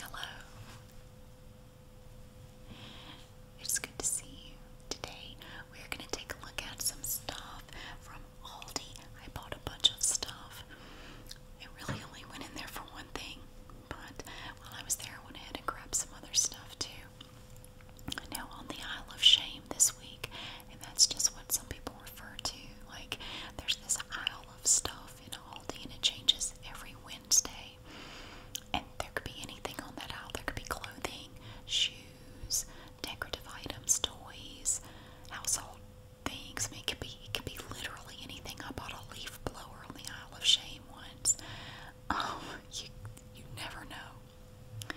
Hello. It's good to see you. Today we're going to take a look at some stuff from Aldi. I bought a bunch of stuff. It really only went in there for one thing, but while I was there, I went ahead and grabbed some other stuff too. Now, on the Isle of Shame this week, and that's just what some people refer to. Like, there's this aisle of stuff shelf in Aldi and it changes every Wednesday. And there could be anything on that aisle. There could be clothing, shoes, decorative items, toys, household things. it could be literally anything. I bought a leaf blower on the Isle of Shame once. Um, you you never know.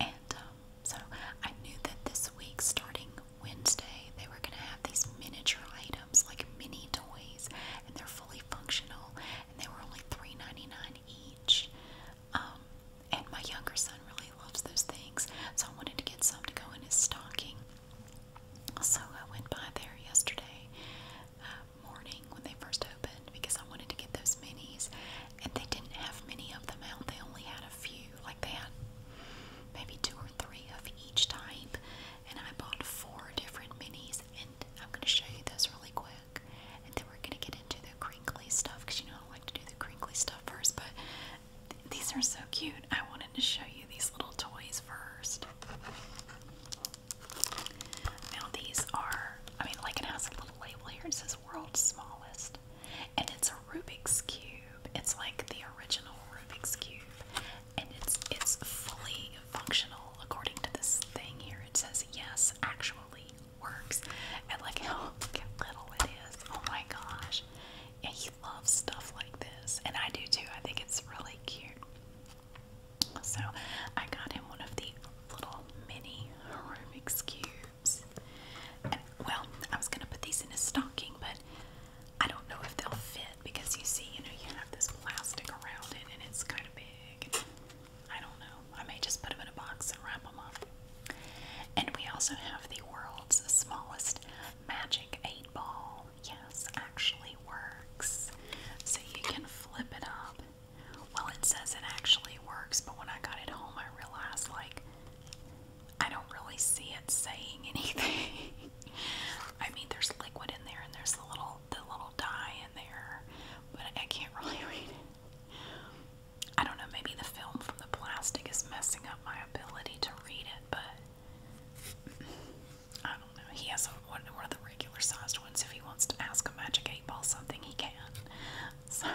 And um, so I knew that this week, starting Wednesday, they were going to have these miniature items like mini toys, and they're fully functional, and they were only $3.99 each. Um, and my younger son really loves those things, so I wanted to get some to go in his stocking. So I went by there yesterday uh, morning when they first opened because I wanted to get those minis, and they didn't have many of them out. They only had a few, like they had maybe two or three of each type and I bought four different minis, and I'm going to show you those really quick, and then we're going to get into the crinkly stuff, because you know I like to do the crinkly stuff first, but these are so cute. I wanted to show you these little toys first. Now these are, I mean, like it has a little label here, it says world's smallest, and it's a Rubik's Cube. It's like the original Rubik's Cube, and it's it's fully functional according to this thing here. It says yes, actually works. And like how, little it is. Oh my gosh. Yeah, he loves stuff like this. And I do too. I think it's really cute. So I got him one of the little mini Rubik's cubes. well, I was gonna put these in his stocking, but I don't know if they'll fit because you see, you know, you have this plastic around it and it's kind of big. I don't know. I may just put them in a box and wrap them up. And we also have the world's smallest magic 8 ball. Yes, actually works. So you can flip it up. Well, it says it actually works, but when I got it home, I realized, like, I don't really see it saying anything. I mean, there's liquid in there, and there's the little the little dye in there, but I can't really read I don't know. Maybe the film from the plastic is messing up my ability to read it, but I don't know. He has a, one, one the regular sized ones. If he wants to ask a magic eight ball something, he can. So,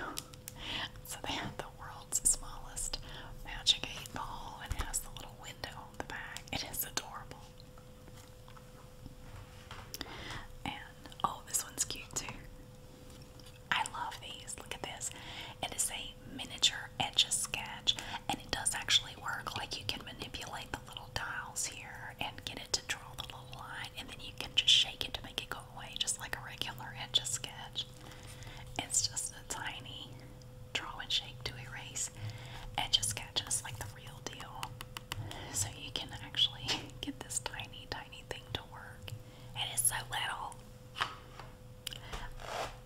so they have the world's smallest magic eight ball and has the little window it is adorable. And oh, this one's cute too. I love these. Look at this. It is a miniature etch a sketch, and it does actually work. Like you can manipulate the little dials here and get it to draw the little line, and then you can just shake it to make it go away, just like a regular etch a sketch. It's just a tiny draw and shape to erase edge sketches like the real deal. So you can actually get this tiny, tiny thing to work. it's so little.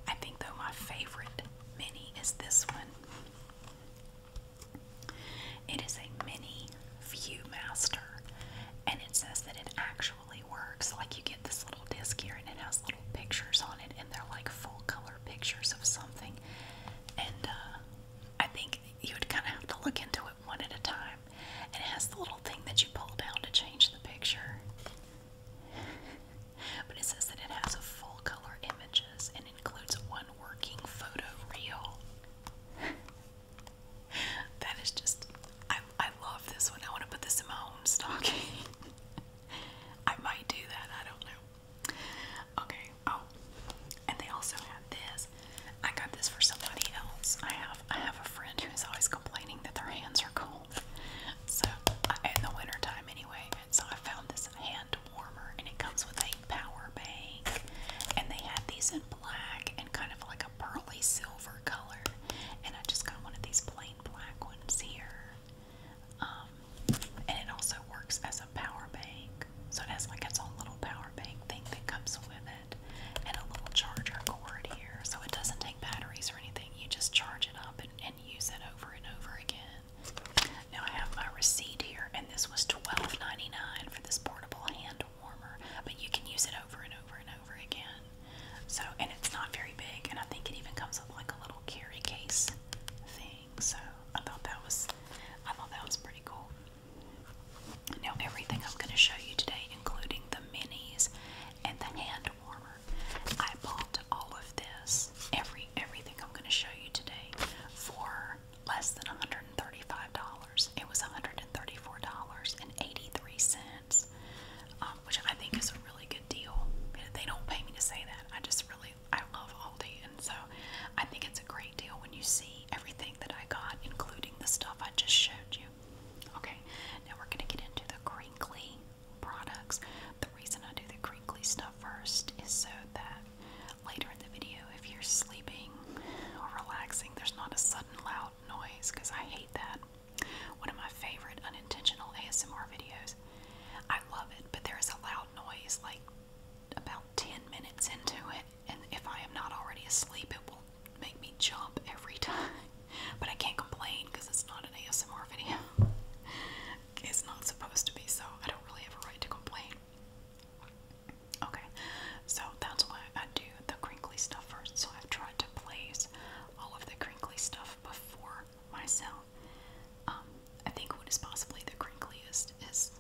I think though my favorite mini is this one. It is a mini Viewmaster and it says that it actually works. Like you get this little disc here and it has little pictures on it and they're like full color pictures of something, and uh, I think you would kind of have to look into it one at a time. And it has the little thing that you pull down to change the picture, but it says that it has full color images and includes one working photo reel. that is just, I, I love this one. I want to put this in my home stocking. I might do that, I don't know. Okay, oh, and they also have this. I got this for somebody else. I have I have a friend who's always complaining that their hands are cold. So in the wintertime anyway, and so I found this hand warmer and it comes with a power bank. And they had these in black and kind of like a pearly silver color. And I just got one of these plain black ones here. Um, and it also works as a power bank. So it has like its own little power bank thing that comes with it and a little charger cord here. So it doesn't take batteries or anything. You just charge it up and, and use it over and over again. Now I have my receipt here and this was $12.99 for this portable hand warmer. But you can use it over and over and over again. So, and it's not very big and I think it even comes with like a little carry case thing. So I thought that was I thought that was pretty cool. Now everything I'm going to show you today, including the minis and the hand warmer, I bought all of this. Every everything I'm going to show you today for less than $135. It was $134.83, um, which I think is a really good deal. They don't pay me to say that. I just really I love Aldi and so I think it's a great deal when you see everything that I got, including the stuff I just showed you. Okay, now we're gonna get into the crinkly products. The reason I do the crinkly stuff first is so that later in the video if you're sleeping or relaxing there's not a sudden loud noise because I hate that. One of my favorite unintentional ASMR videos I love it, but there is a loud noise like about 10 minutes into it, and if I am not already asleep, it will make me jump every time. But I can't complain because it's not an ASMR video. It's not supposed to be, so I don't really have a right to complain. Okay, so that's why I do the crinkly stuff first. So I've tried to place all of the crinkly stuff before myself um, I think what is possibly the crinkliest is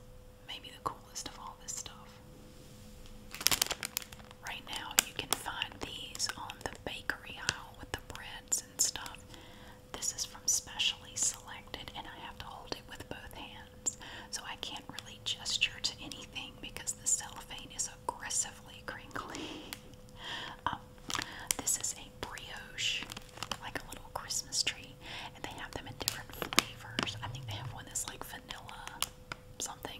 maybe the coolest of all this stuff. Right now, you can find these on the bakery aisle with the breads and stuff. This is from Specially Selected, and I have to hold it with both hands. So I can't really gesture to anything because the cellophane is aggressively crinkly. Um, this is a brioche, like a little Christmas tree, and they have them in different flavors. I think they have one that's like vanilla something,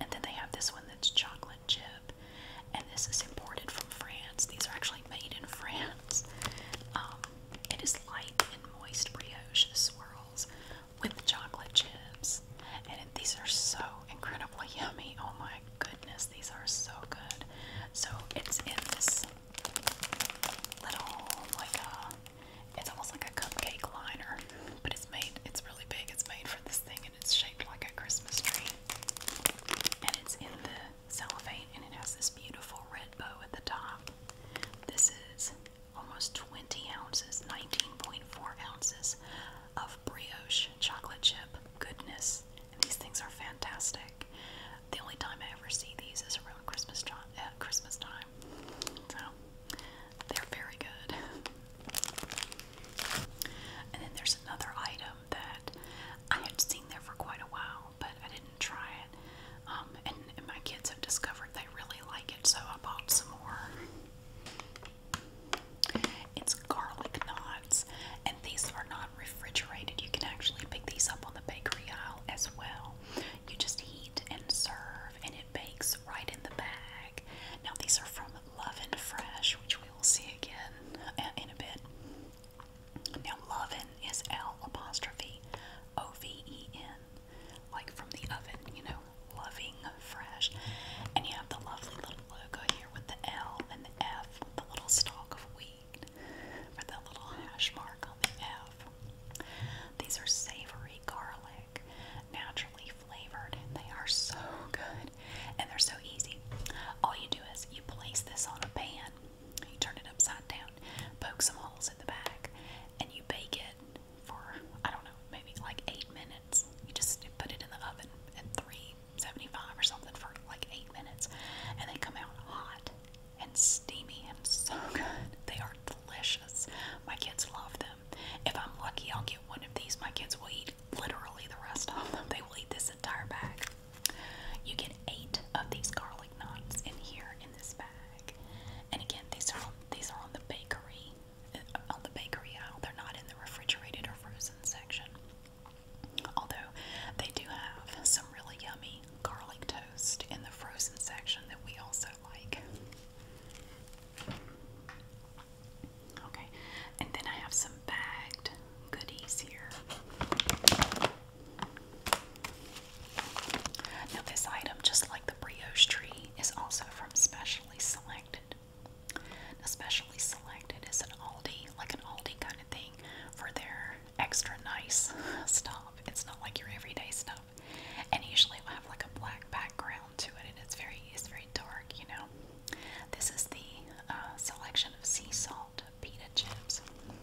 and then they have this one that's chocolate chip, and this is imported from France. These are actually made in France. Um, it is light and moist brioche swirls with chocolate chips, and these are so incredibly yummy. Oh my goodness, these are so good. So it's in this little like a uh, it's almost like a cupcake liner, but it's made it's really big. It's made for this thing and it's shaped like a Christmas tree. And it's in the cellophane and it has this beautiful red bow at the top. This is almost 20 ounces, 19.4 ounces of brioche chocolate chip goodness these things are fantastic. The only time I ever see these is around uh, Christmas time. So they're very good. And then there's another item that I had seen there for quite a while, but I didn't try it. Um, and, and my kids have discovered they really like it, so I bought some more. It's garlic knot. And these are not refrigerated. You can actually pick these up on the bakery aisle as well. You just heat and serve, and it bakes right in the bag. Now, these are from Loving Fresh, which we will see again uh, in a bit. Now, Lovin is L apostrophe O V E N, like from the oven, you know, loving fresh. And you have the lovely little logo here with the L and the F, with the little stalk of wheat for the little hash mark on the F. These are savory garlic, naturally flavored, and they are so good and they're so easy. All you do is you place this on a pan, you turn it upside down, poke some holes in the back, and you bake it for I don't know, maybe like eight minutes. You just put it in the oven at three 75 or something for like eight minutes, and they come out hot and steamy and so good. They are delicious. My kids love them. If I'm lucky, I'll get one of these. My kids will eat literally the rest of them. They will eat this entire bag. You get eight of these garlic knots in here in this bag, and again, these are on, these are on the bakery, uh, on the bakery aisle. They're not in the refrigerated or frozen section. Although they do have some really yummy garlic toast in the frozen section that we also like. Okay, and then I have some bagged goodies here. Now, this item, just like the brioche tree, is also from Specially Selected. Now, Selected is an Aldi, like an Aldi kind of thing, for their extra nice stuff. It's not like your everyday stuff. And usually it have like a black background to it, and it's very it's very dark, you know. This is the uh, selection of sea salt pita chips,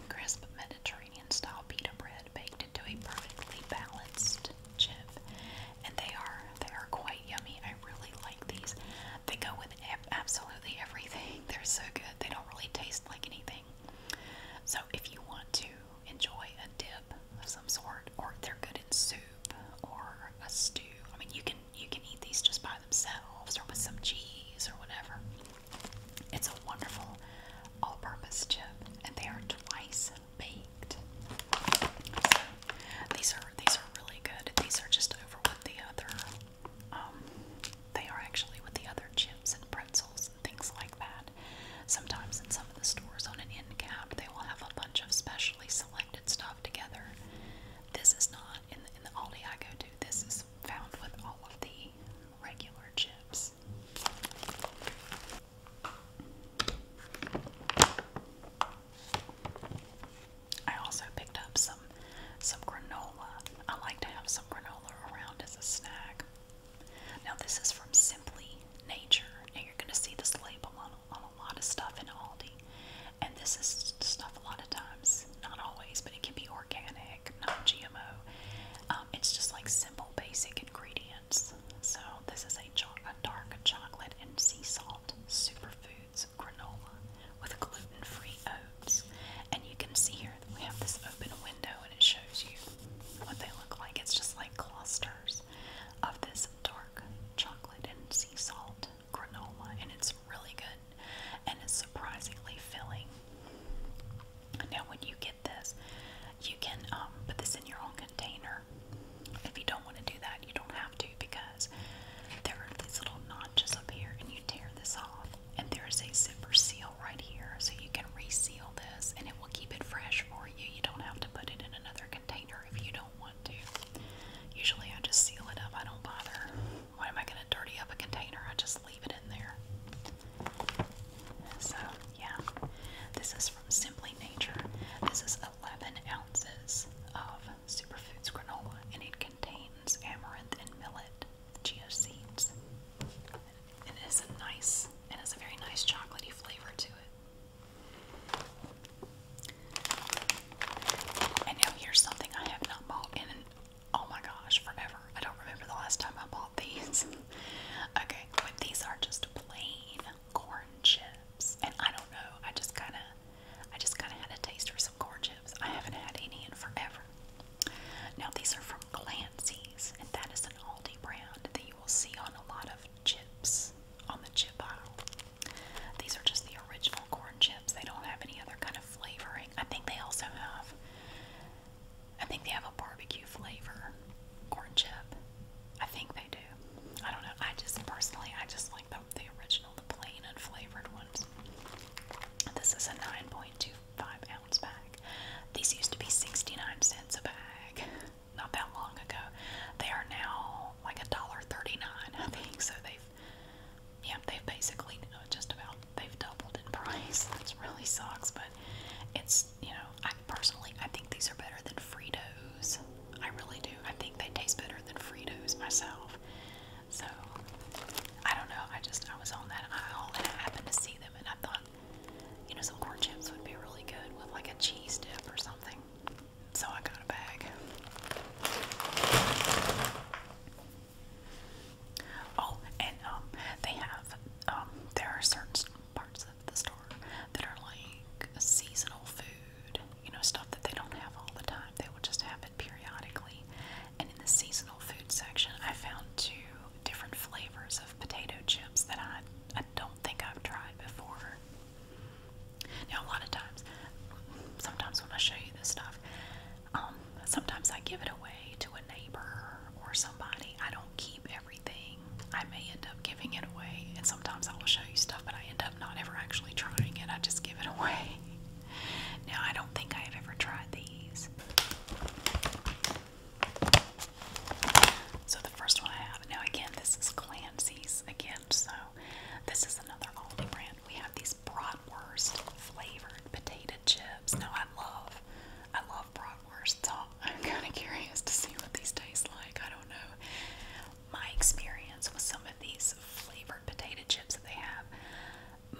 crisp Mediterranean style pita bread baked into a perfectly balanced chip, and they are they are quite yummy. I really like these. They go with absolutely everything. They're so good good. They don't really taste like anything. So if you want to enjoy a dip of some sort, or they're good in soup or a stew. I mean, you can you can eat these just by themselves or with some cheese or whatever. It's a wonderful all-purpose chip, and they are twice baked. So these are these are really good. These are just over with the other um, they are actually with the other chips and pretzels and things like that. Sometimes in some of the stores on an end cap, they will have a bunch of specially selected stuff together. This is not in the, in the Aldi I go to. This is found with all of the regular chips. I also picked up some some granola. I like to have some granola around as a snack. Now this is from Simply Nature, and you're going to see this label on, on a lot of stuff in Aldi. And this is stuff a lot of times, not always, but it can be organic, not gmo um, it's just like simple, basic ingredients. So this is a, dark chocolate and sea salt superfoods granola with gluten-free and you can see here that we have this open window and it shows you what they look like. It's just like clusters of this dark chocolate and sea salt granola, and it's really good and it's surprisingly filling. Now, when you get this, you can um, put this in your own container. If you don't want to do that, you don't have to because there are these little notches up here, and you tear this off and there's a zipper seal right here, so you can reseal this and it will keep it fresh for you. You don't have to put it in another container if you don't want to. Usually I just seal it up, I don't bother. Why am I going to dirty up a container? I just leave it in there. So, yeah, this is from Simply Nature. This is 11 ounces of superfoods granola and it contains amaranth and millet chia seeds. has a nice, it has a very nice chocolatey flavor to it. And now here's something I have not bought in, oh my gosh, forever. I don't remember the last time I bought these. okay, but these are just plain corn chips, and I don't know. I just kind of, I just kind of had a taste for some corn chips olives. I haven't had any in forever. Now, these are from Clancy's, and that is an Aldi brand that you will see on a lot of chips on the chip aisle. These are just the original corn chips. They don't have any other kind of flavoring. I think they also have, I think they have a barbecue flavor corn chip. I think they do. I don't know. I just personally, I just like the, the original, the plain, unflavored ones. This is a 9.25 ounce bag. These used to be 69 cents a bag not that long ago. They are now like a dollar 39, I think. So they've, yeah, they've basically uh, just about they've doubled in price. That really sucks, but it's you know I personally I think these are better than Fritos. I really do. I think they taste better than Fritos myself. So I don't know. I just I was on that aisle and I happened to see them, and I thought, you know, some corn chips would be really good with like a cheese dip or something. So I got a bag. Oh, and um, they have um, there are certain parts of the store that are like seasonal food. You know, stuff that they don't have all the time. They will just have periodically. And in the seasonal food section, I found two different flavors of potato chips that I, don't think I've tried before. Now, a lot of times, sometimes when I show you this stuff, um, sometimes I give it away to a neighbor or somebody. I don't keep everything. I may end up giving it away, and sometimes I will show you stuff, but I end up not ever actually trying it. I just give it away. Now, I don't think I've ever tried these. So, the first one I have, now again, this is Clancy's again, so this is another Aldi brand. We have these bratwurst flavored potato chips. Now, I love, I love bratwurst, so I'm kind of curious to see what these taste like. I don't know. My experience with some of these flavored potato chips that they have,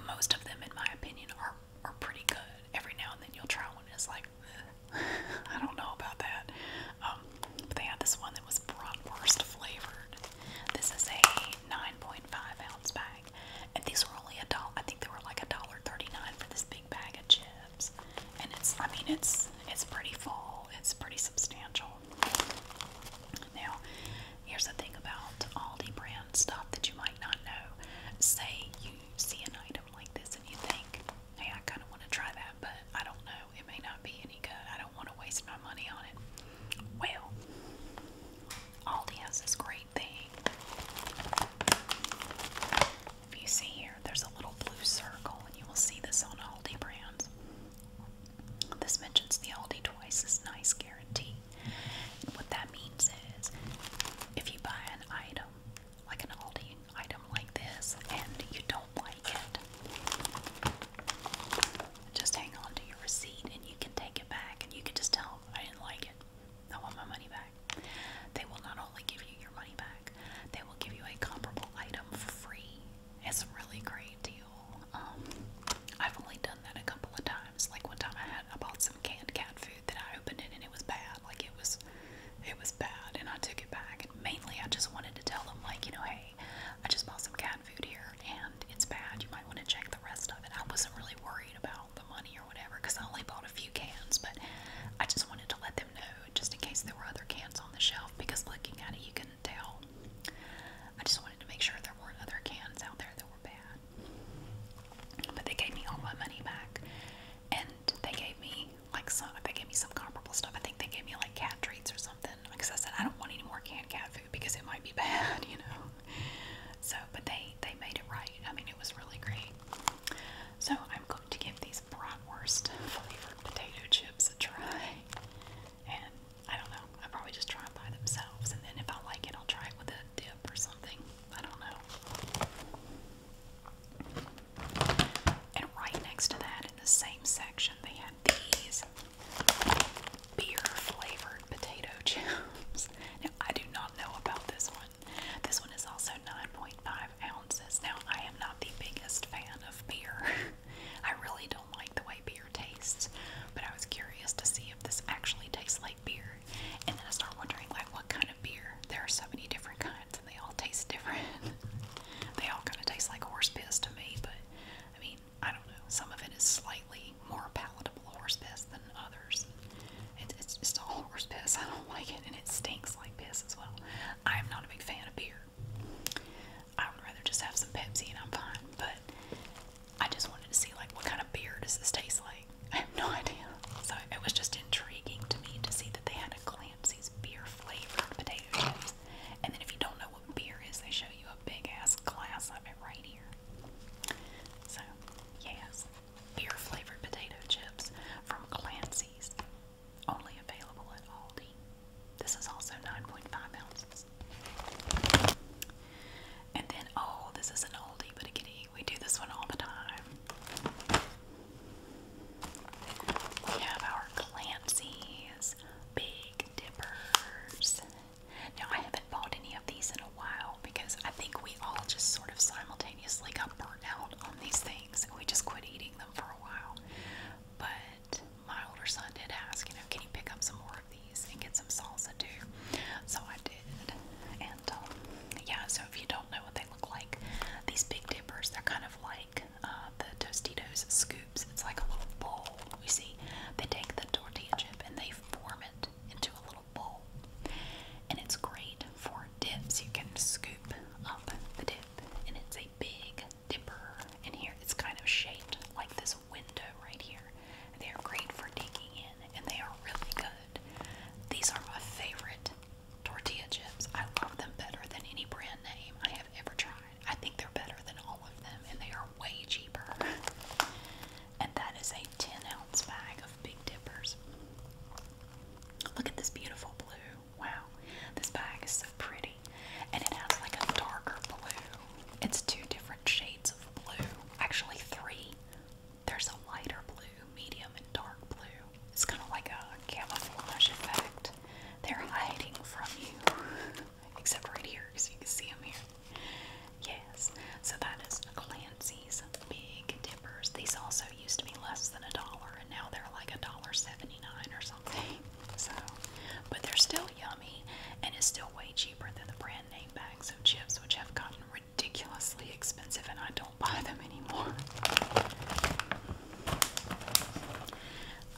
most of them in my opinion are are pretty good. Every now and then you'll try one that's like I don't know about that. Um, but they had this one that was bratwurst flavored. This is a 9.5 ounce bag, and these were only a dollar. I think they were like a dollar 39 for this big bag of chips. And it's, I mean, it's it's pretty full. It's pretty substantial. Now, Here's the thing about Aldi brand stuff that you might not know. Say you see an item like this and you think, hey, I kind of want to try that, but I don't know. It may not be any good. I don't want to waste my money on it. Well, Aldi has this great thing. If you see here, there's a little blue circle, and you will see this on Aldi brands. This mentions the Aldi twice as nice guarantee what that means is if you buy an item, like an Aldi item like this, and you don't like it, just hang on to your receipt and you can take it back and you can just tell I didn't like it. I want my money back. They will not only give you your money back, they will give you a comparable item for free. It's a really great deal. Um, I've only done that a couple of times times. Like one time I had I bought some canned cat food that I opened it and it was bad. Like it was it was bad and I took it back. And mainly I just wanted to tell them like, you know, hey, I just bought some cat food here and it's bad. You might want to check the rest of it. I wasn't really worried about the money or whatever because I only bought a few cans, but I just wanted to let them know just in case there were other cans on the shelf because looking at it you couldn't tell. I just wanted to make sure there weren't other cans out there that were bad. But they gave me all my money back, and they gave me like some. They gave me some comparable stuff. I think they gave me like cat treats or something. Because I said I don't want any more canned cat food because it might be bad, you know. So, but they they made it right. I mean, it was really great. So I'm going to give these bratwurst flavored potato chips a try, and I don't know. I probably just try them by themselves, and then if I like it, I'll try it with a dip or something. I don't know. And right next to that, in the same section, they had these beer flavored potato chips. Now, I do not know about this one. This one is also 9.5 ounces. Now, I am not the biggest fan of beer. I really don't like the way beer tastes, but I was curious to see if this actually tastes like beer. And then I started wondering, like, what kind of beer? There are so many different kinds, and they all taste different. they all kind of taste like horse piss to me, but I mean, I don't know. Some of it is slightly more palatable horse piss than others. It, it's just all horse piss. I don't like it, and it stinks like piss as well. I am not a big fan of beer. I would rather just have some Pepsi and I'm fine. But I just wanted to see like what kind of beer does this taste like. I have no idea. So it was just intriguing to me to see that they had a Clancy's beer flavored potato chips. And then if you don't know what beer is, they show you a big ass glass of it right here. So yes, beer flavored potato chips from Clancy's, only available at Aldi. This is also 9.5 ounces. And then, oh, this is an oldie but a goodie. We do this one all the time. We have our Clancy's Big Dippers. Now, I haven't bought any of these in a while because I think we all just sort of simultaneously got out on these things and we just quit eating them for a while. But my older son did ask, you know, can you pick up some more of and get some salsa too. So I did. And um, yeah, so if you don't know what they look like, these big dippers, they're kind of like uh, the Tostitos scoops. It's like a little bowl. You see, they take the tortilla chip and they form it into a little bowl. And it's great for dips. You can scoop up the dip, and it's a big dipper. And here it's kind of shaped like this window right here. They're great for digging in and they are really good. These are my favorite tortilla chips. I love them better than any brand name I have ever tried. I think they're better than all of them, and they are way cheaper. And that is a 10 ounce bag of Big Dippers. Look at this beautiful blue. Wow, this bag is so pretty. And it has like a darker blue. It's two different shades of blue. Actually, three. There's a lighter blue, medium, and dark blue. It's kind of like a camouflage effect. They're hiding from you, except right here because you can see them here. Yes, so that is Clancy's Big Dippers. These also used to be less than a dollar, and now they're like a dollar seventy-nine or something. So, but they're still yummy, and it's still way cheaper than the brand name bags of chips, which have gotten ridiculous ridiculously expensive and I don't buy them anymore.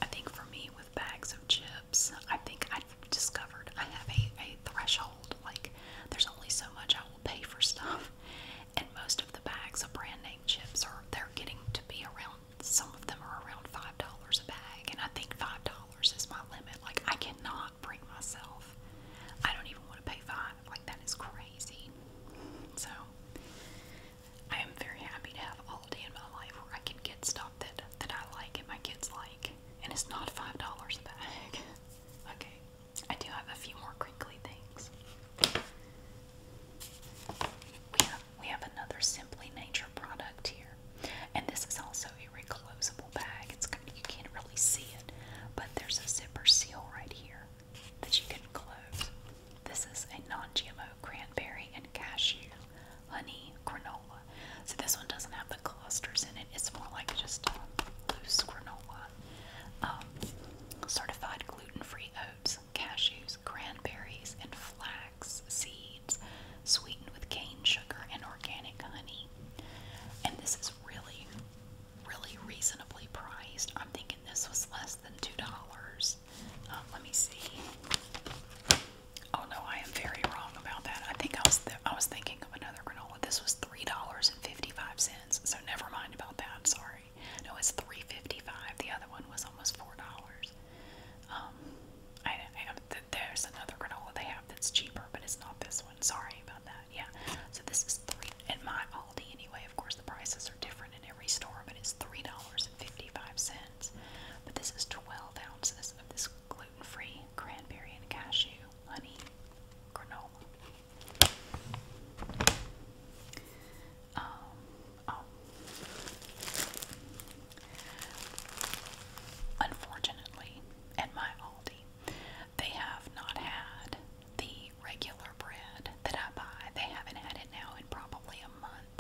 I think for me with bags of chips, I think I discovered I have a, a threshold. Like there's only so much I will pay for stuff. And most of the bags of brand name chips are they're getting to be around some of them are around five dollars a bag and I think five dollars dollars is my limit. Like I cannot bring myself. I don't even want to pay five. Like that is crazy. So I am very happy to have a holiday in my life where I can get stuff that that I like and my kids like, and it's not five dollars a bag. okay, I do have a few more crinkly things. We have we have another Simply Nature product here, and this is also a reclosable bag. It's you can't really see it, but there's a zipper seal right here that you can close. This is a non-GMO cranberry and cashew honey granola. So this one doesn't have the clusters in it. It's more like just a loose granola. Um, certified gluten-free oats, cashews, cranberries, and flax seeds, sweetened with cane sugar and organic honey. And this is really, really reasonably priced. I'm thinking this was less than $2. Um, let me see. Oh no, I am very wrong about that. I think I was I was thinking of another granola. This was three dollars and fifty-five cents. So never mind about that. Sorry. No, it's three fifty-five. The other one was almost four dollars. Um, I, there's another granola they have that's cheaper, but it's not this one. Sorry about that yeah. So this is three at my Aldi anyway. Of course, the prices are different in every store, but it's three dollars and fifty-five cents. But this is twelve ounces of this gluten-free cranberry and cashew honey granola. Um, oh. Unfortunately, at my Aldi, they have not had the regular bread that I buy. They haven't had it now in probably a month.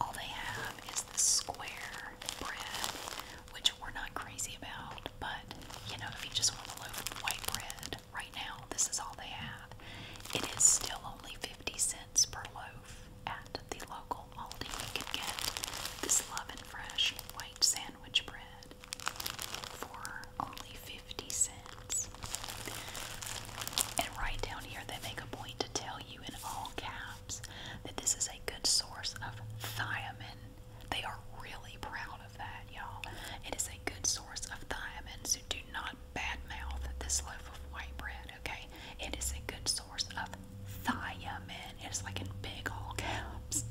All they have is the square bread, which we're not crazy about, but you know, if you just want a loaf of white bread right now, this is all they have. It is still only 50 cents per loaf at the local Aldi. You can get this Love and Fresh white sandwich bread for only 50 cents. And right down here, they make a point to tell you in all caps that this is a good source of thiamin. They are really proud of that, y'all. It is a good source of thiamin. so do not badmouth this loaf of white bread, okay? It is a good source of thiamin. It's like in big all caps.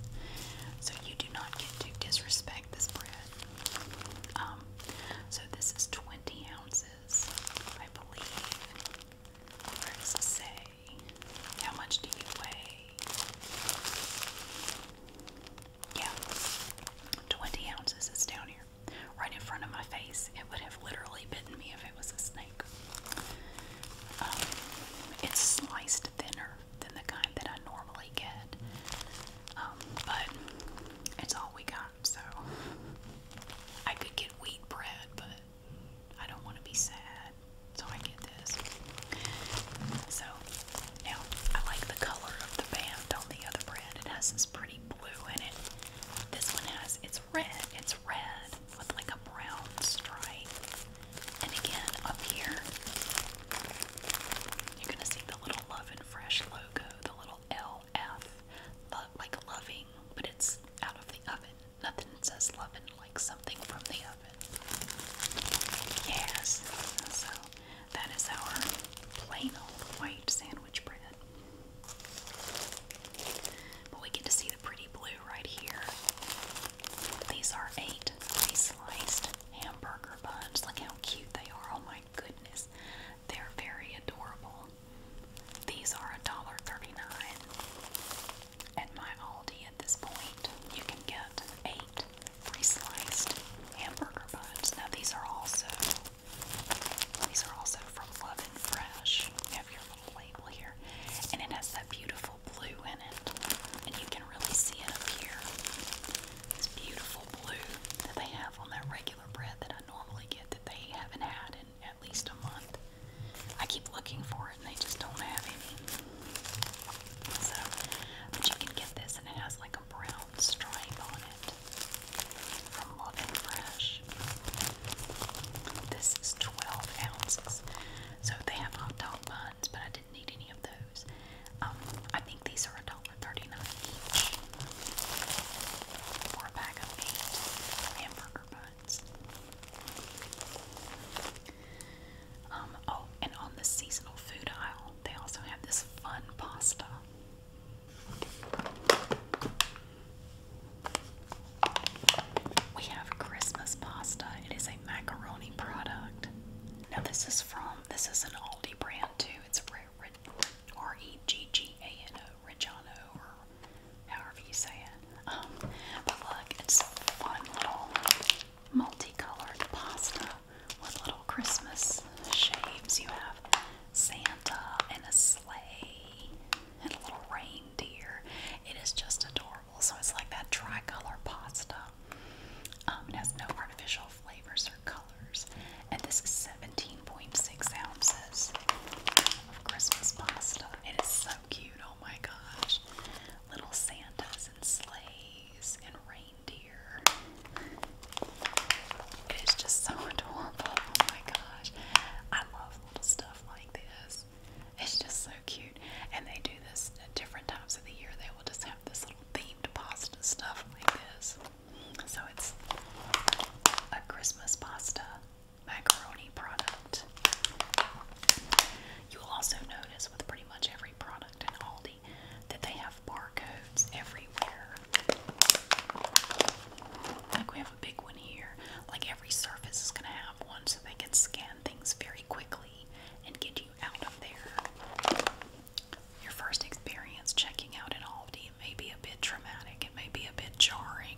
So you do not get to disrespect this bread. Um, so this is 20 ounces, I believe. Where say? How much do you weigh? Yeah, 20 ounces. It's down here, right in front of my face. It would have literally bitten me if it was a snake. Um, it's sliced thinner than the kind that I normally get. Um, but it's all we got, so I could get wheat bread, but I don't want to be sad, so I get this. So now I like the color of the band on the other bread. It has this pretty blue in it. This one has it's red. It's red with like brown stripe. And again, up here, you're gonna see the little Love and Fresh logo, the little LF, like loving, but it's out of the oven. Nothing says loving like something from the oven. Yes, so that is our plain old white sandwich bread. But we get to see the pretty blue right here. These are eight free sliced hamburger buns. Look how cute they are. Oh my goodness. They're very adorable. These are $1.39 at my Aldi at this point. You can get 8 free pre-sliced hamburger buns. Now these are also these are also from Love and Fresh. You have your little label here. And it has that beautiful beautiful blue in it. And you can really see it up here. This beautiful blue that they have on that regular bread that I normally get that they haven't had in at least a month. I keep looking for it and they just don't have any. So, but you can get this and it has like a brown stripe on it from Love Fresh. This is 12 ounces. So they have hot dog buns, but I need any of those. Um, I think these are $1.39 each for a bag of eight hamburger buns. Um, oh, and on the seasonal food aisle, they also have this fun pasta. We have Christmas pasta. It is a macaroni product product. Now this is from this is an Aldi brand too. It's R E G G A N O, Reggiano, or however you say it. Um, but look, it's a fun little multicolored pasta with little Christmas shapes. You have Santa and a sleigh and a little reindeer. It is just adorable. So it's like that tricolor pasta. Um, it has no artificial flavors or colors. And this is 17.6 ounces of Christmas pasta. It is so cute. Oh my gosh. Little Santas and sleighs and reindeer. It is just so adorable. Oh my gosh. I love little stuff like this. It's just so cute. And they do this at different times of the year. They will just have this little themed pasta stuff like this. So it's a Christmas pasta macaroni product. You will also notice with pretty much every product in Aldi that they have barcodes everywhere. Like we have a big one here. Like every surface is going to have one so they can scan things very quickly and get you you out of there. Your first experience checking out in Aldi it may be a bit traumatic, it may be a bit jarring.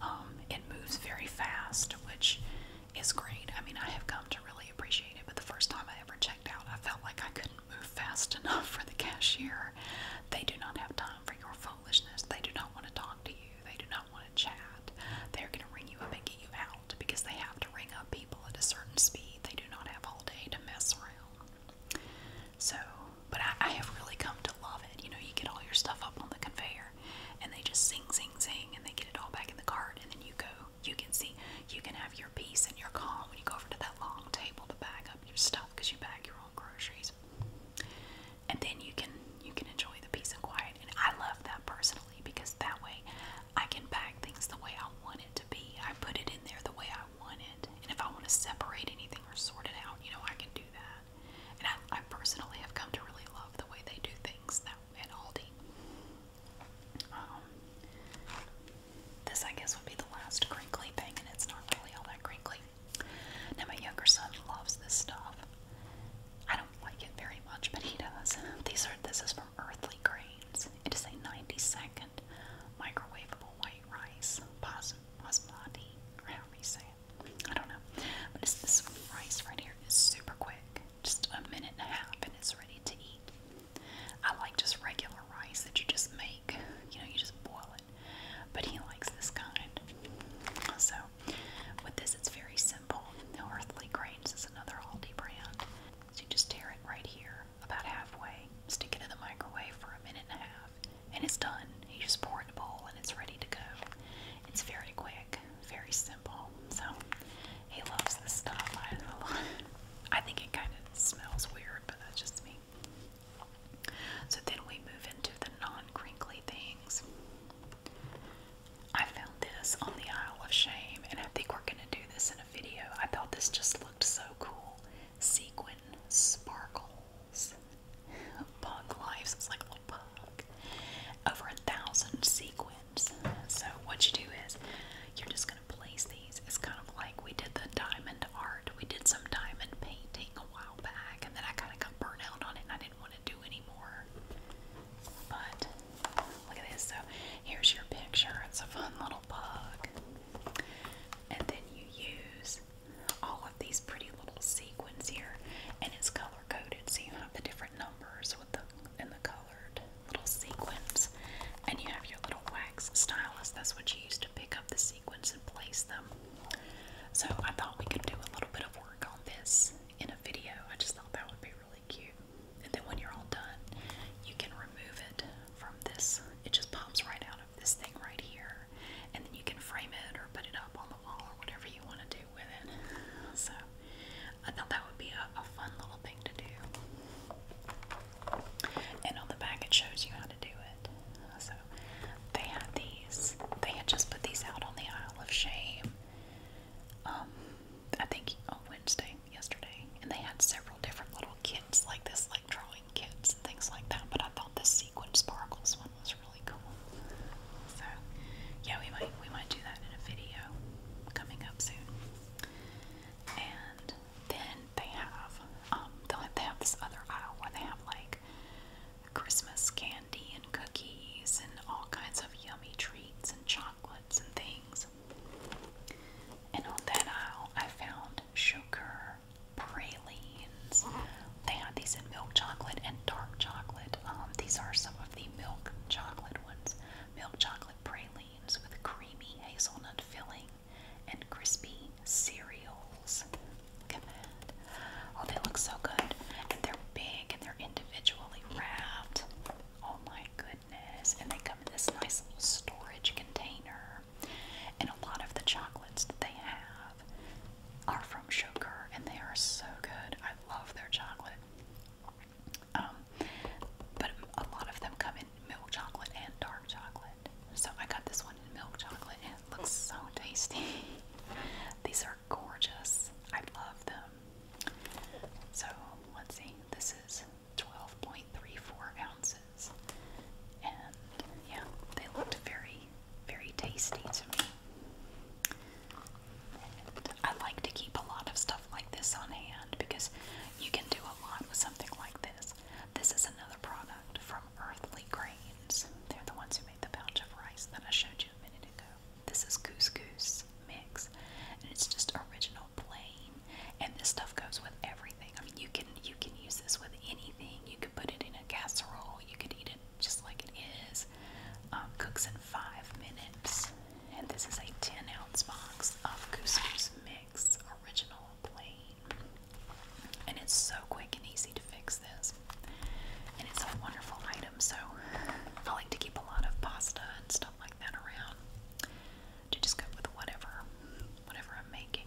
Um, it moves very fast, which is great. I mean, I have come to really appreciate it, but the first time I ever checked out, I felt like I couldn't move fast enough for the cashier. They do not have time for your foolishness. They do not want to talk to you. They do not want to chat. They're going to ring you up and get you out because they have to ring up people at a certain speed. They do not have all day to mess around. So, but I, I have really come to love it. You know, you get all your stuff up on the conveyor and they just sing, sing, sing, and they get it all back in the cart, and then you go. You can see, you can have your peace and your calm when you go over to that long table to bag up your stuff because you bag your own groceries, and then you can you can enjoy the peace and quiet. And I love that personally carefully because that way I can pack things the way I want it to be. I put it in there the way I want it. And if I want to separate anything or sort it out, you know, I can do that. And I, I personally have come to really love the way they do things that, at Aldi. Um, this, I guess, would be the last crinkly thing, and it's not really all that crinkly. Now, my younger son loves this stuff. I don't like it very much, but he does. These are this is for from Earthly Grains. It is a 90 second microwavable white rice, basmati, or however you say it. I don't know. But it's this rice right here is super quick, just a minute and a half, and it's ready to eat. I like just regular rice that you just make, you know, you just boil it. But he likes this kind. So, with this, it's very simple. Now, Earthly Grains is another Aldi brand. So you just tear it right here, about halfway, stick it in the microwave for a minute and a half, and it's done. You just pour it in a bowl and it's ready to go. It's very quick, very simple. So he loves this stuff. I, I think it kind of smells weird, but that's just me. So then we move into the non crinkly things. I found this on the Isle of Shame, and I think we're gonna do this in a video. I thought this just looked so cool. Sequin sparkles, bug lives. It's like a little Over a thousand sequins. So what you do is you're just gonna place these. It's kind of like we did the diamond art. We did some diamond painting a while back, and then I kind of got burned out on it, I didn't want to do anymore. But look at this. So here's your picture. It's a fun little bug. And then you use all of these pretty little sequins here, and it's color coded, so you have the different numbers with the and the colored little sequins. And you have your little wax stylus. That's what you use to pick up the sequins and place them. So I thought we could do a little bit of work on this in a video. I just thought that would be really and then when you're all done, you can remove it from this. It just pops right out of this thing right here. And then you can frame it or put it up on the wall or whatever you want to do with it. So I thought that would be a, fun little thing to do. And on the back it shows you how to do it. So they had these. They had just put these out on the Isle of Shame. Um, I think on Wednesday, yesterday, and they had several different little kits like this, like drawing kits and things like that. But I thought the sequin sparkles one was really cool. So yeah, we might we might do that in a video coming up soon. And then they have um they have this other aisle where they have like Christmas candy and cookies and all kinds of yummy treats and chocolate and things. And on that aisle, I found sugar pralines. They had these in milk chocolate and dark chocolate. Um, these are some of the milk chocolate ones. Milk chocolate pralines with creamy hazelnut filling and crispy cereals. Oh, they look so good. And they're big and they're individually wrapped. Oh my goodness. And they come in this nice little storage container. And a lot of the chocolates that they have are from Sugar, and they are so good. I love their chocolate. Um, but a lot of them come in milk chocolate and dark chocolate. So I got this one in milk chocolate, and it looks so tasty. These are gorgeous. I love them. So let's see, this is 12.34 ounces. And yeah, they looked very, very tasty to me. I like to keep a lot of stuff like this on hand because you can do a lot with something like this. This is another product from Earthly Grains. They're the ones who made the pouch of rice that I showed you a minute ago. This is couscous mix, and it's just original plain. And this stuff goes with everything. I mean, you can you can use this with anything. You could put it in a casserole. You could eat it just like it is. Um, cooks in five minutes. And this is a 10 ounce box of couscous mix, original plain. And it's so quick and easy to fix this. And it's a wonderful item. So I like to keep a lot of pasta and stuff like that around to just go with whatever, whatever I'm making.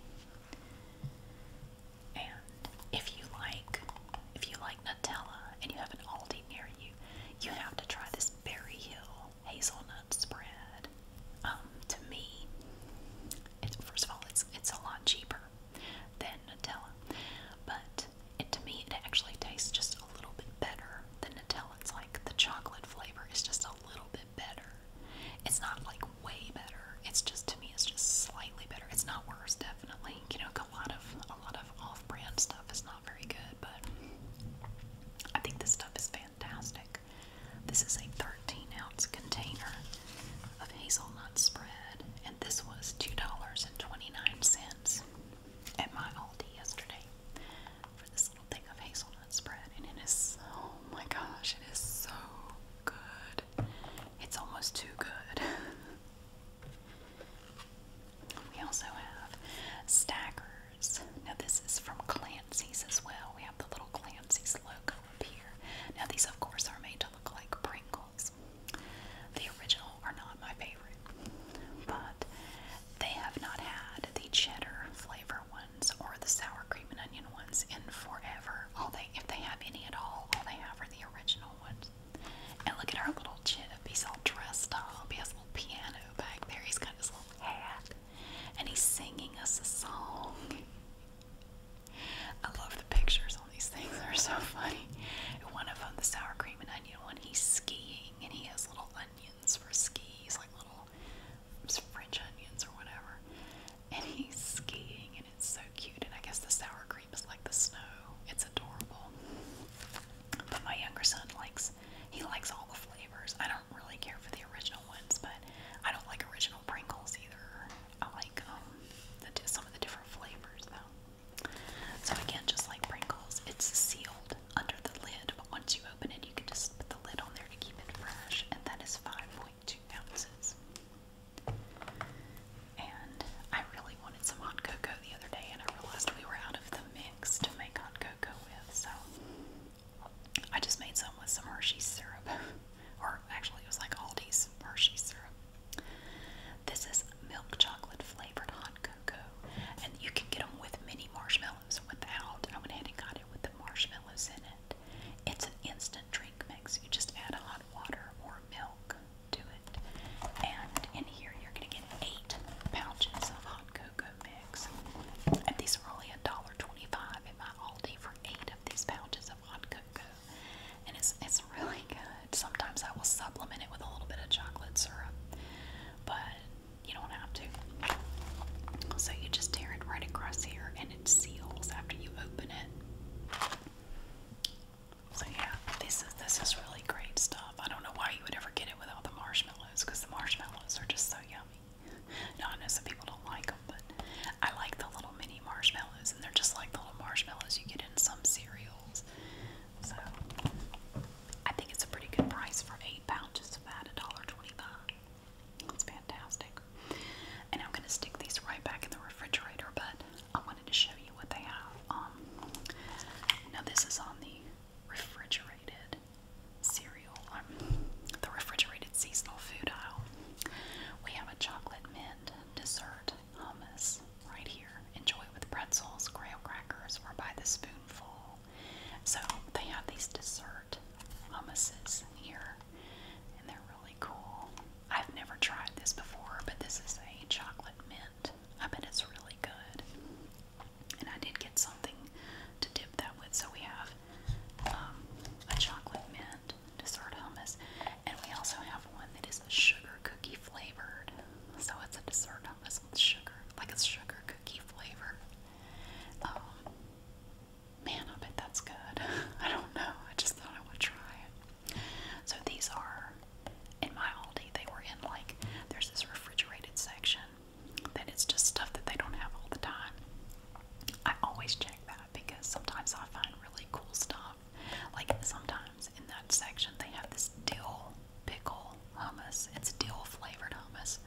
And if you like, if you like Nutella and you have an Aldi near you, you have to try this Berry Hill hazelnut spread. Um, to me, it's first of all, it's it's a lot cheaper than Nutella, but to me it actually tastes just a little bit better than Nutella. It's like the chocolate flavor is just a little bit better. It's not like way better. It's just to me it's just slightly better. It's not worse definitely. You know, a lot of a lot of off-brand stuff is not very good, but I think this stuff is fantastic. This is a 13 ounce container of hazelnut spread, and this was $2.29 at my Aldi yesterday for this little thing of hazelnut spread, and it is oh my gosh, it is so good. It's almost too good. we also have stackers. Now this is from Clancy's as well. We have the little Clancy's logo up here. Now these of course are made to look like Pringles. The original are not my favorite, but they have not had the cheddar flavor ones or the sour cream and onion ones in forever. All they, if they have any at all, all they have are the original ones. And look at our little chip. He's all dressed up. He has a little piano back there. He's got his little hat, and he's singing us a song. I love the pictures on these things. They're so funny. One of them, the sour cream and onion one, he's skiing and he has little onions onions for skis, like little French onions or whatever. And he's skiing, and it's so cute. And I guess the sour cream is like the snow. It's adorable. But my younger son likes he likes all the flavors. I don't really care for the original ones, but I don't like original Pringles either. I like um the, some of the different flavors though. So again, just like Pringles, it's sealed under the lid, but once you open it, you can just put the lid on there to keep it fresh, and that is 5.2 ounces. And I really wanted some hot cocoa the other day, and I realized we were out of the mix to make hot cocoa with, so I just made some with some Hershey's syrup. or actually, it was like Aldi's Hershey's syrup. This is milk chocolate flavored hot cocoa and you can get them with mini marshmallows without. I went ahead and got it with the marshmallows in it. It's an instant drink mix. You just add hot water or milk to it, and in here you're going to get eight pouches of hot cocoa mix. And these are only a dollar twenty-five in my Aldi for eight of these pouches of hot cocoa, and it's it's really good. Sometimes I will supplement it with a little bit of chocolate syrup, but you don't have to. So you just tear it right across here and it seals after you open it. So yeah, this is this is really great stuff. I don't know why you would ever get it without the marshmallows because the marshmallows are just so yummy. Now I know some people don't like them, but I like the little mini marshmallows and they're just like the little marshmallows you get in some cereals. So I think it's a pretty good price for eight pounds, just about a dollar twenty-five. That's fantastic. And I'm gonna stick these right back in the refrigerator, but I wanted to show you what they have. Um, now this is on the refrigerated cereal, um, the refrigerated seasonal food aisle. We have a chocolate mint dessert hummus right here. Enjoy with pretzels, graham crackers, or by the spoonful. So they have these dessert hummuses here, and they're really cool. I've never tried this before, but this is a chocolate mint. I bet it's really good. And I did get something to dip that with. So we have um, a chocolate mint dessert hummus, and we also have one that is sugar cookie flavored. So it's a dessert Oh, this one's sugar, like a sugar cookie flavor. Um, man, I bet that's good. I don't know. I just thought I would try it. So these are in my Aldi. They were in like there's this refrigerated section that it's just stuff that they don't have all the time. I always check that because sometimes I find really cool stuff. Like sometimes in that section they have this dill pickle hummus. It's dill flavored hummus.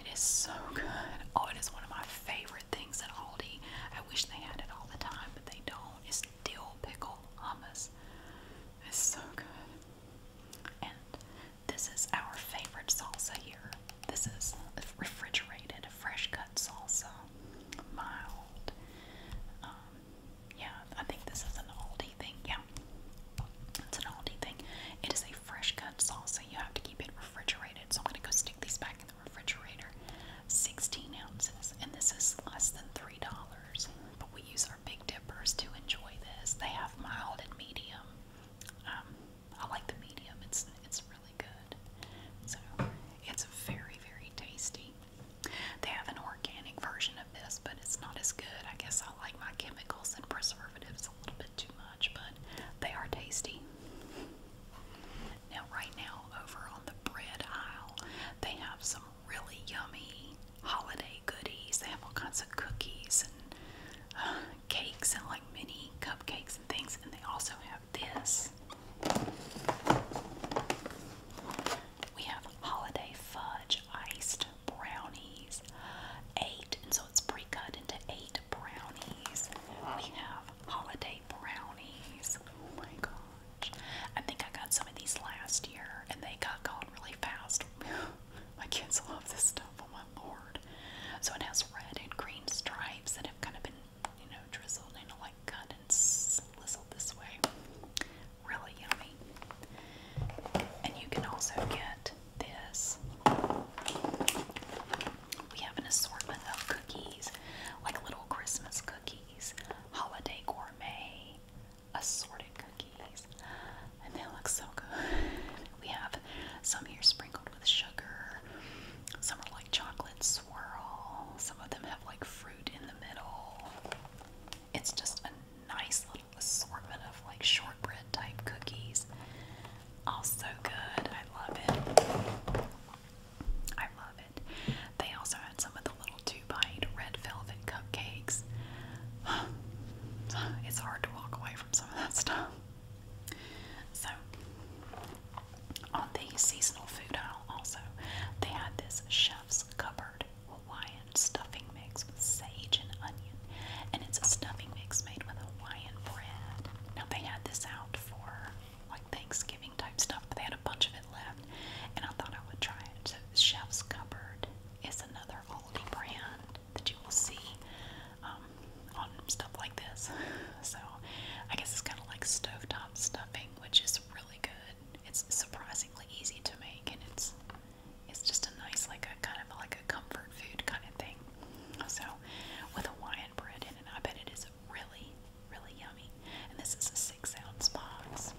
It is so good. Oh, it is one of my favorite things at Aldi. I wish they had it all the time, but they don't. It's dill pickle hummus. It's so good. And this is our favorite salsa here. This is refrigerated, fresh cut salsa. Mild. Um, yeah, I think this is an Aldi thing. Yeah, it's an Aldi thing. It is a fresh cut salsa. You have to keep it refrigerated. So I'm going to go stick these back in the refrigerator. 16 ounces. And this is less than $3. But we use our Big Dippers to enjoy this. They have mild and medium. Um, I like the medium. It's, it's really good. So it's very, very tasty. They have an organic version of this, but it's not as good. I guess like my chemicals and preservatives a little bit too much, but they are tasty. Now, right now, over on the bread aisle, they have some really yummy holiday goodies. They have all kinds of cookies and uh, cakes and like mini cupcakes and things, and they also have this. We have holiday fudge iced brownies. Eight, and so it's pre cut into eight brownies. We have holiday brownies. Oh my gosh. I think I got some of these last year and they got gone really fast. my kids love this stuff, oh my lord. So it has red and green stripes that have kind of been, you know, drizzled and like cut and slizzled this way. Really yummy. And you can also get this. We have an assortment of cookies, like little Christmas cookies, holiday gourmet, assorted cookies, and they look so good. We have some here sprinkled with sugar, some are like chocolate swirl, some of them have like fruit in the middle. It's just a nice little assortment of like shortbread type cookies. Also good. I love it. I love it. They also had some of the little two bite red velvet cupcakes. It's hard to walk away from some of that stuff. So, on the seasonal food aisle, also, they had this chef's cupboard favorite Hawaiian stuffing mix with sage and onion. And it's a stuffing mix made with Hawaiian bread. Now, they had this out for like Thanksgiving type stuff, but they had a bunch of it left. And I thought I would try it. So, Chef's Cupboard is another oldie brand that you will see um, on stuff like this. So, I guess it's kind of like stovetop stuffing, which is really good. It's surprisingly easy to make, and it's it's just a nice, like a kind of like a comfort food kind of thing. So, with a Hawaiian bread in it, I bet it is really, really yummy. And this is a six ounce box.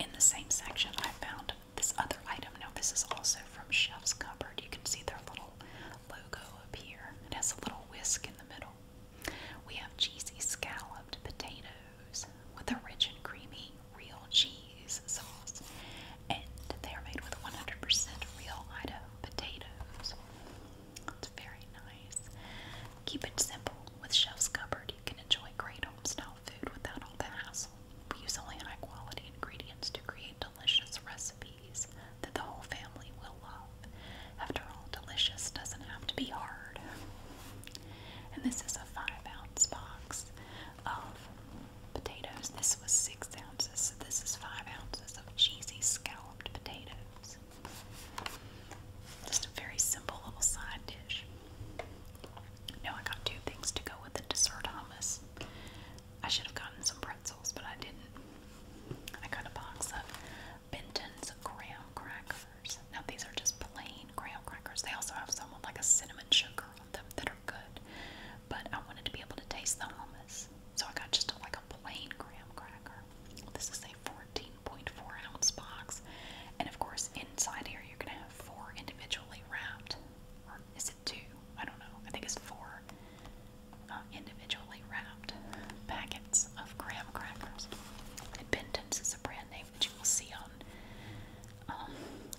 In the same section, I found this other item. Now, this is also from Chef's Cupboard. You can see their little logo up here. It has a little whisk in the middle. We have cheesy scalloped potatoes with a rich and creamy real cheese sauce. And they are made with 100% real Idaho potatoes. It's very nice. Keep it simple. With Chef's Cupboard, you can enjoy great home style food without all the hassle. We use only high quality ingredients to create delicious recipes that the whole family will love. After all, delicious doesn't have to be hard. And this is a five ounce box of potatoes. This was six ounces, so this is five ounces of cheesy scalloped potatoes. Just a very simple little side dish. Now I got two things to go with the dessert hummus. I should have gotten some pretzels, but I didn't. I got a box of Benton's graham crackers crackers. Now these are just plain graham crackers. They also have some with like a cinnamon sugar on them that are good. But I wanted to be able to taste the hummus. So I got just a, like a plain graham cracker. This is a 14.4 ounce box. And of course inside here you're gonna have four individually wrapped. Or is it two? I don't know. I think it's four uh, individually wrapped packets of graham crackers. And Benton's is a brand name that you will see on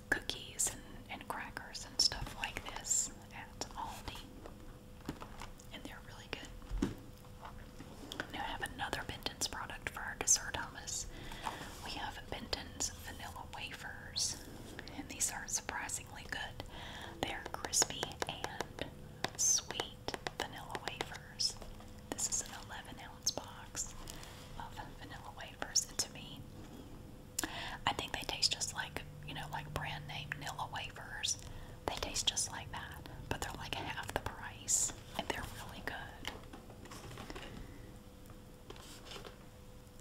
cookies and, and crackers and stuff like this at Aldi, and they're really good. Now I have another Benton's product for our dessert hummus. We have Benton's vanilla wafers, and these are surprisingly good. They're crispy and sweet vanilla wafers. This is an 11 box of vanilla wafers. And to me, I think they taste just like, you know, like brand name vanilla wafers. They taste just like that, but they're like half the price and they're really good.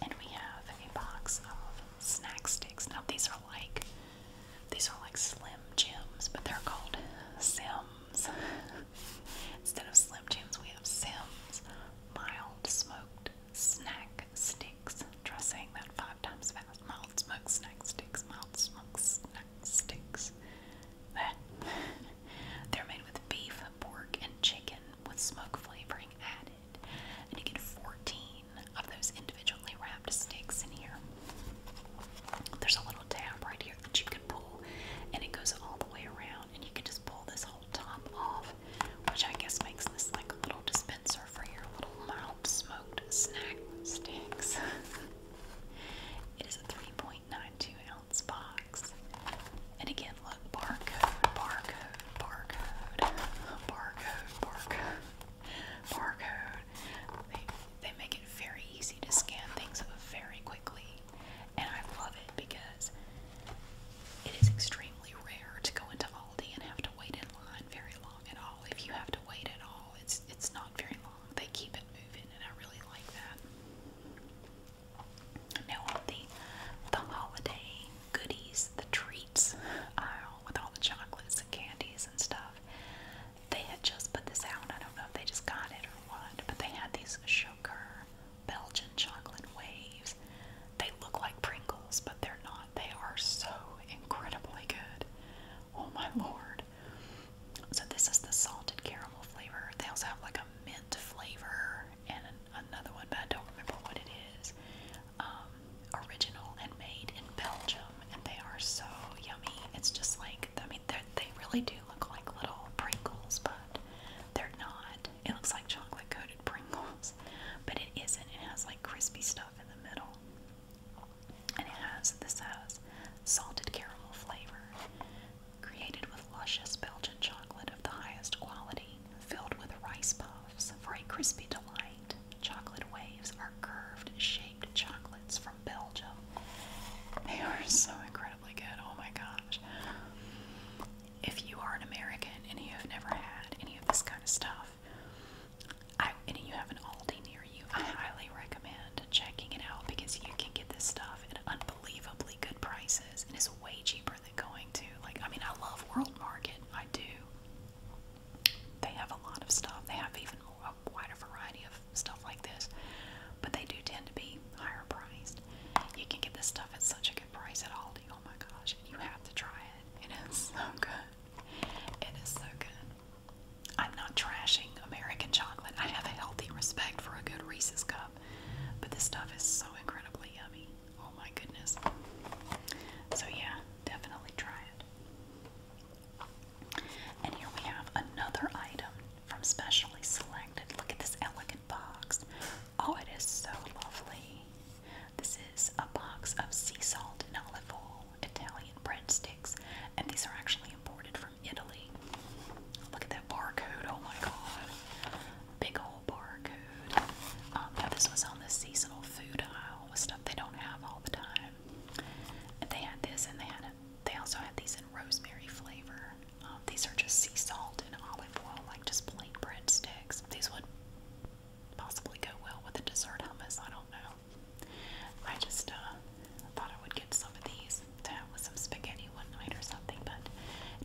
And we have a box of snack sticks. Now these are like these are like slim jims, but they're called Sim Instead of Slim Jims, we have Sims. Mild smoked snack sticks. Try that five times fast. Mild smoked snack sticks. Mild smoked snack sticks. They're made with beef, pork, and chicken with smoke flavoring added. And you get 14 of those individually wrapped sticks in here. There's a little tab right here that you can pull, and it goes all the way around, and you can just pull this whole top off, which I guess makes this like a little dispenser for your little mild smoked snack sticks. it is a 3.92 ounce box, and again, look barcode, barcode, barcode, barcode, barcode, barcode. They, they make it very easy to scan things very quickly. And I love it because it is extremely rare to go into Aldi and have to wait in line very long at all. If you have to wait at all, it's it's not very long. They keep it moving and I really like that. Now on the the holiday goodies, the treats aisle uh, with all the chocolates and candies and stuff. They had just put this out. I don't know if they just got it or what, but they had these sugar Belgian chocolate waves. They look like Pringles, but they're not. They are so incredibly good. Oh my lord. So, this is the salted caramel flavor. They also have like a mint flavor and another one, but I don't remember what it is. Um, original and made in Belgium, and they are so yummy. It's just like, I mean, they really do look like little Pringles, but they're not. It looks like chocolate coated Pringles, but it isn't. It has like crispy stuff in the middle. And it has this has salted caramel flavor, created with luscious Belgian chocolate of the highest quality, filled with rice puffs for a crispy delight. Chocolate waves are curved, shaped chocolates from Belgium. They are so incredible incredibly good. Oh my gosh. If you are an American and you have never had any of this kind of stuff, I, and you have an Aldi near you, I highly recommend checking it out because you can get this stuff at unbelievably good prices and it's way cheaper than going to, like, I mean, I love World Market. I do. They have a lot of stuff. They have even more, a wider variety of stuff like this, but they do tend to be higher priced you can get this stuff at such a good price at Aldi. Oh my gosh, you have to try it. It is so good. It is so good. I'm not trashing American chocolate. I have a healthy respect for a good Reese's cup, but this stuff is so incredibly yummy. Oh my goodness. So, yeah, definitely try it. And here we have another item from Specially Selected. Look at this elegant box. Oh, it is so lovely. This is a box of sea salt and olive oil, Italian breadsticks, and these are actually imported from Italy. Look at that barcode. Oh my god. Big old barcode. Um, now, this was on the seasonal food aisle with stuff they don't have all the time. they had this and they had they also had these rosemary flavor. Um, these are just sea salt and olive oil, like just plain breadsticks. These would possibly go well with a dessert hummus, I don't know. I just uh, thought I would get some of these to have with some spaghetti one night or something, but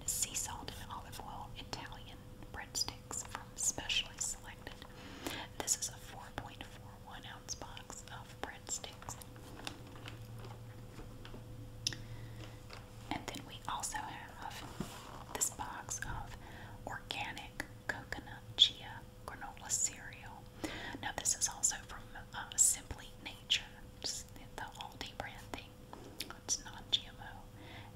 sea salt and olive oil Italian breadsticks from Specially Selected. This is a 4.41 ounce box of breadsticks. And then we also have this box of organic coconut chia granola cereal. Now, this is also from uh, Simply Nature, the Aldi brand thing. It's non GMO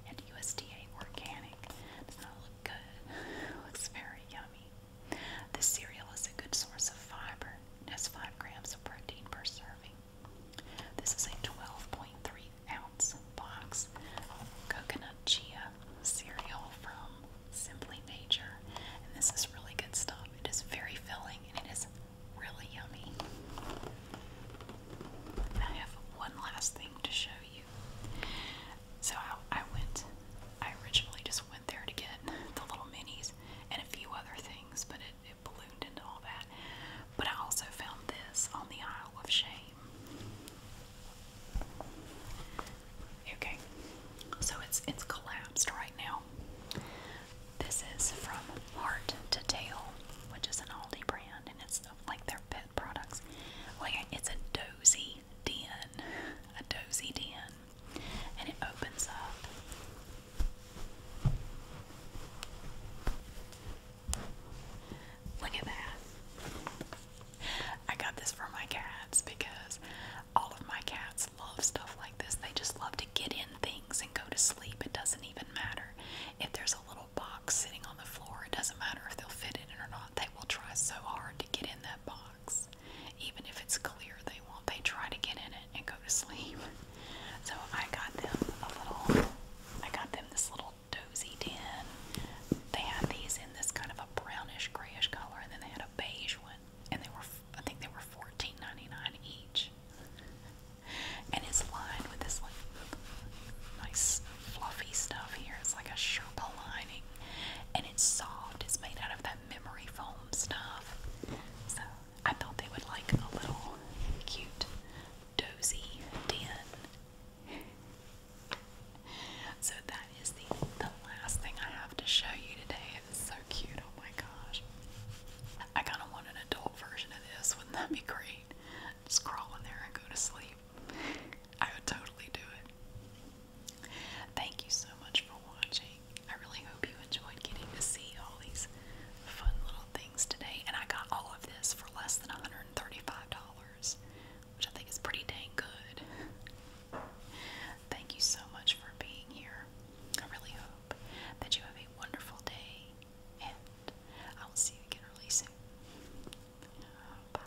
and USDA organic. Does not look good, looks very yummy. This cereal is a good source of fiber. has 5 grams of protein per serving. This is a 12.3 ounce box of coconut chia cereal from Simply Nature. And this is really good stuff. It is very filling and it is really yummy. I have one last thing to show you. So I went, I originally just went there to get the little minis and a few other things, but it, ballooned into all that. But I also found this on the Isle of Shame. Okay, so it's it's collapsed right now. This is from Heart to Tail, which is an Aldi brand, and it's like their pet products. Like it's a dozy den, a dozy den, and it opens up Look at that. I got this for my cats because all of my cats love stuff like this. They just love to get in things and go to sleep. It doesn't even matter. If there's a little box sitting on the floor, it doesn't matter if they'll fit in it or not. They will try so hard to get in that box. Even if it's clear, they won't. They try to get in it and go to sleep. So I got them a little, I got them this little dozy den. They had these in this kind of a brownish grayish color, and then they had a beige one, and they were, I think they were $14.99 each. And it's lined with this like nice fluffy stuff here. It's like a Sherpa lining, and it's soft. It's made out of that memory foam stuff. So I thought they would like a little cute dozy den. so that is the the last thing I have to show you today. It is so cute. Oh my gosh. I kinda want an adult version of this. Wouldn't that be great? Just crawl in there and go to sleep. I would totally do it. Thank you so much for watching. I really hope you enjoyed getting to see all these fun little things today, and I got all of this for less than $135, which I think is pretty dang good. Thank you so much for being here. I really hope that you have a wonderful day, and I will see you again really soon. bye.